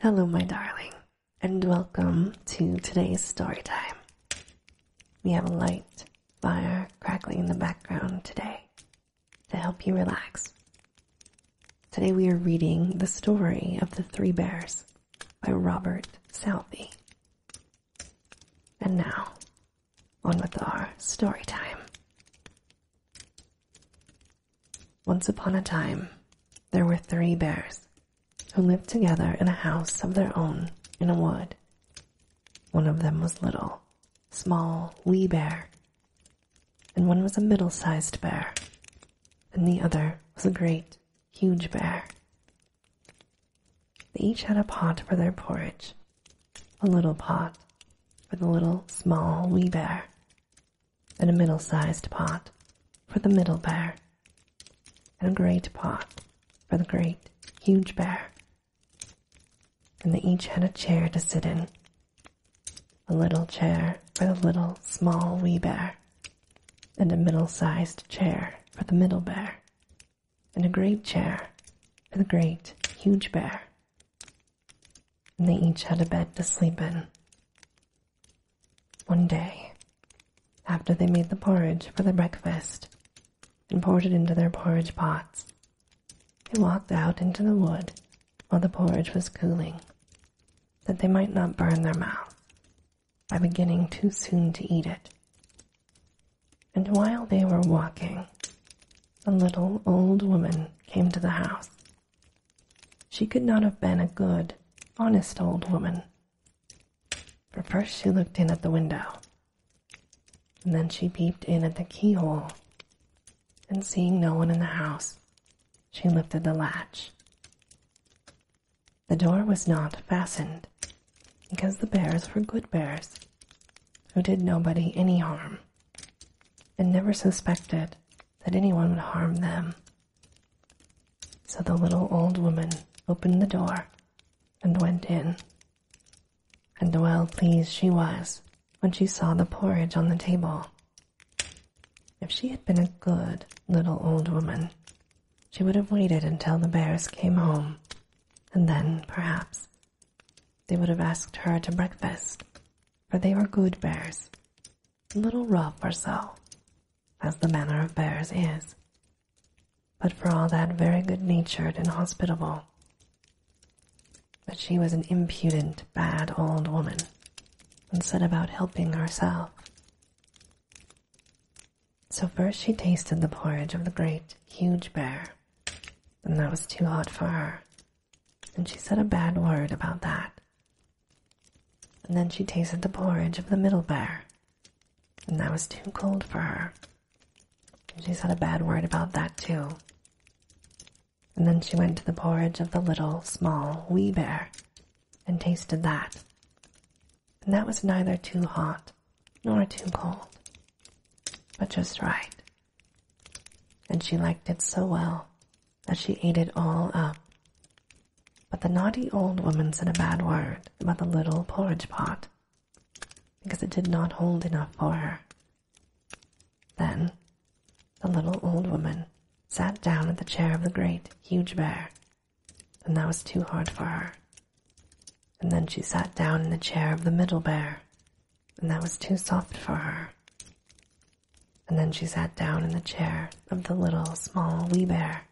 Hello, my darling, and welcome to today's story time. We have a light fire crackling in the background today to help you relax. Today we are reading The Story of the Three Bears by Robert Southey. And now, on with our story time. Once upon a time, there were three bears who lived together in a house of their own in a wood. One of them was little, small, wee bear, and one was a middle sized bear, and the other was a great, huge bear. They each had a pot for their porridge, a little pot for the little, small, wee bear, and a middle-sized pot for the middle bear, and a great pot for the great, huge bear. And they each had a chair to sit in, a little chair for the little, small, wee bear, and a middle-sized chair for the middle bear, and a great chair for the great, huge bear, and they each had a bed to sleep in. One day, after they made the porridge for their breakfast and poured it into their porridge pots, they walked out into the wood while the porridge was cooling, that they might not burn their mouths by beginning too soon to eat it. And while they were walking, a little old woman came to the house she could not have been a good, honest old woman, for first she looked in at the window, and then she peeped in at the keyhole, and seeing no one in the house, she lifted the latch. The door was not fastened, because the bears were good bears, who did nobody any harm and never suspected that anyone would harm them. So the little old woman opened the door and went in. And well pleased she was when she saw the porridge on the table. If she had been a good little old woman, she would have waited until the bears came home, and then, perhaps, they would have asked her to breakfast, for they were good bears a little rough or so, as the manner of bears is, but for all that very good-natured and hospitable. But she was an impudent, bad old woman, and set about helping herself. So first she tasted the porridge of the great, huge bear, and that was too hot for her, and she said a bad word about that. And then she tasted the porridge of the middle bear, and that was too cold for her. And she said a bad word about that too. And then she went to the porridge of the little, small, wee bear, and tasted that. And that was neither too hot nor too cold, but just right. And she liked it so well that she ate it all up. But the naughty old woman said a bad word about the little porridge pot because it did not hold enough for her. Then the little old woman sat down in the chair of the great, huge bear, and that was too hard for her. And then she sat down in the chair of the middle bear, and that was too soft for her. And then she sat down in the chair of the little, small wee bear,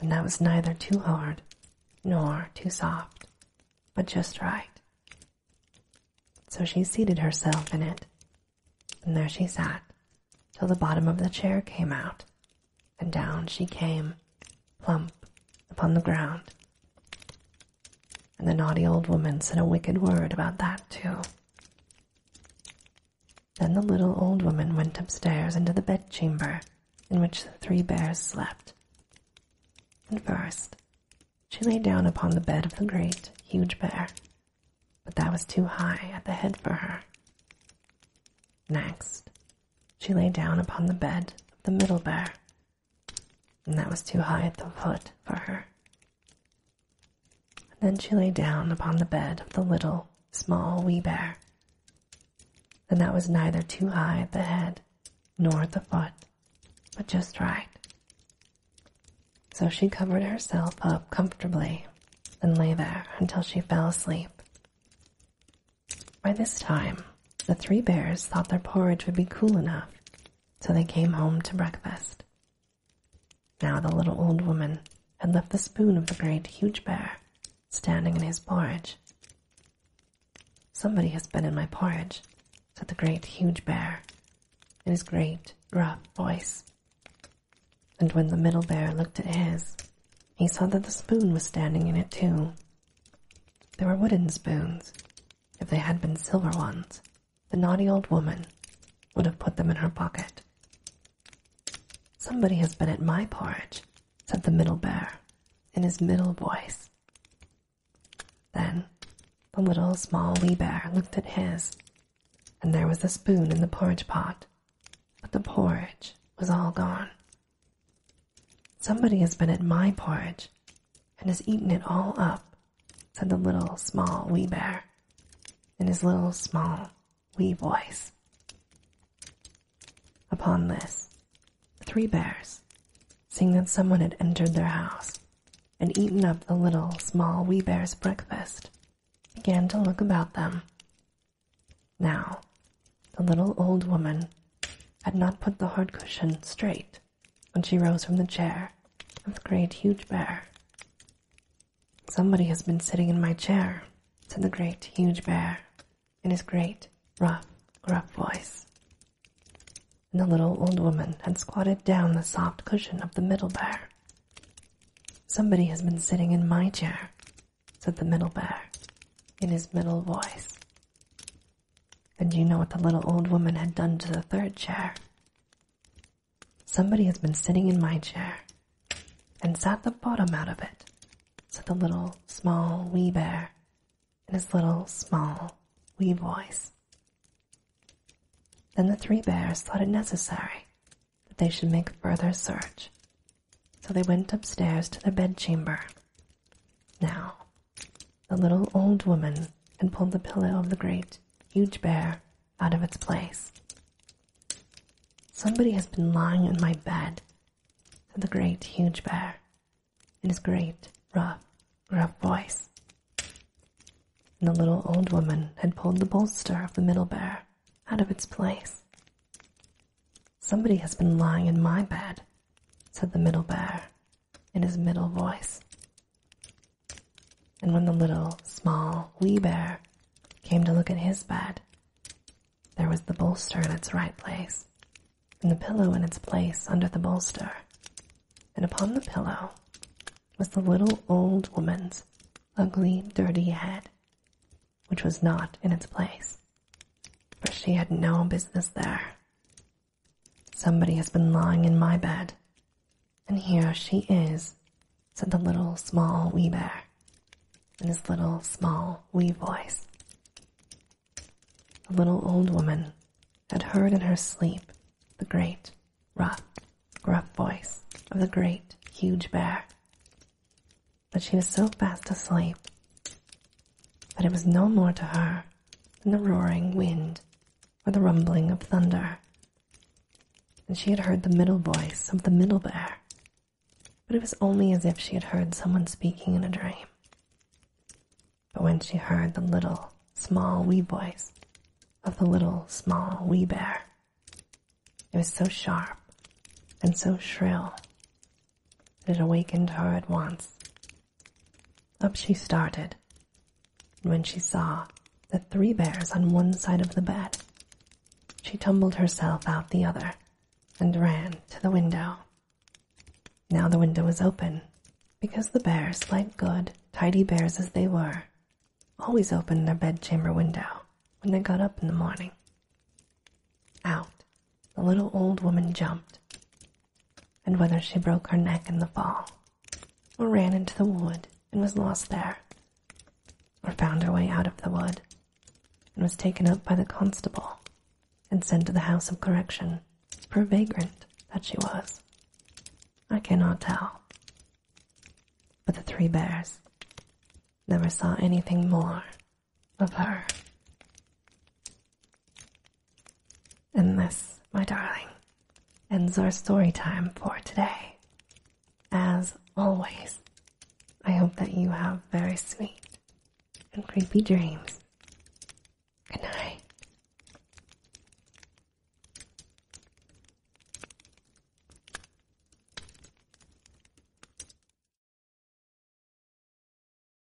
and that was neither too hard nor too soft, but just right. So she seated herself in it, and there she sat till the bottom of the chair came out, and down she came, plump upon the ground. And the naughty old woman said a wicked word about that, too. Then the little old woman went upstairs into the bedchamber in which the three bears slept. And first, she lay down upon the bed of the great, huge bear, but that was too high at the head for her. Next, she lay down upon the bed of the middle bear, and that was too high at the foot for her. then she lay down upon the bed of the little, small wee bear, and that was neither too high at the head nor at the foot, but just right. So she covered herself up comfortably and lay there until she fell asleep. By this time, the three bears thought their porridge would be cool enough so they came home to breakfast. Now the little old woman had left the spoon of the great huge bear standing in his porridge. Somebody has been in my porridge, said the great huge bear in his great rough voice. And when the middle bear looked at his, he saw that the spoon was standing in it too. They were wooden spoons. If they had been silver ones, the naughty old woman would have put them in her pocket. Somebody has been at my porridge, said the middle bear in his middle voice. Then the little small wee bear looked at his, and there was the spoon in the porridge pot, but the porridge was all gone. Somebody has been at my porridge and has eaten it all up, said the little small wee bear in his little small wee voice. Upon this, the three bears, seeing that someone had entered their house and eaten up the little small wee bear's breakfast, began to look about them. Now, the little old woman had not put the hard cushion straight when she rose from the chair of the great huge bear. Somebody has been sitting in my chair, said the great huge bear in his great, rough, gruff voice. And the little old woman had squatted down the soft cushion of the middle bear. Somebody has been sitting in my chair, said the middle bear in his middle voice. And do you know what the little old woman had done to the third chair? Somebody has been sitting in my chair and sat the bottom out of it, said the little small wee bear in his little small wee voice. Then the three bears thought it necessary that they should make further search, so they went upstairs to their bedchamber. Now, the little old woman had pulled the pillow of the great, huge bear out of its place. Somebody has been lying in my bed, said the great, huge bear, in his great, rough, gruff voice. And the little old woman had pulled the bolster of the middle bear out of its place. Somebody has been lying in my bed, said the middle bear in his middle voice. And when the little, small, wee bear came to look at his bed, there was the bolster in its right place, and the pillow in its place under the bolster. And upon the pillow was the little old woman's ugly, dirty head, which was not in its place, for she had no business there, Somebody has been lying in my bed, and here she is, said the little small wee bear in his little small wee voice. The little old woman had heard in her sleep the great, rough, gruff voice of the great, huge bear. But she was so fast asleep that it was no more to her than the roaring wind or the rumbling of thunder. And she had heard the middle voice of the middle bear, but it was only as if she had heard someone speaking in a dream. But when she heard the little, small, wee voice of the little, small, wee bear, it was so sharp and so shrill that it awakened her at once up she started, and when she saw the three bears on one side of the bed, she tumbled herself out the other and ran to the window. Now the window was open, because the bears, like good, tidy bears as they were, always opened their bedchamber window when they got up in the morning. Out the little old woman jumped, and whether she broke her neck in the fall, or ran into the wood and was lost there, or found her way out of the wood and was taken up by the constable and sent to the house of correction per vagrant that she was. I cannot tell. But the three bears never saw anything more of her. And this, my darling, ends our story time for today. As always, I hope that you have very sweet and creepy dreams. Good night.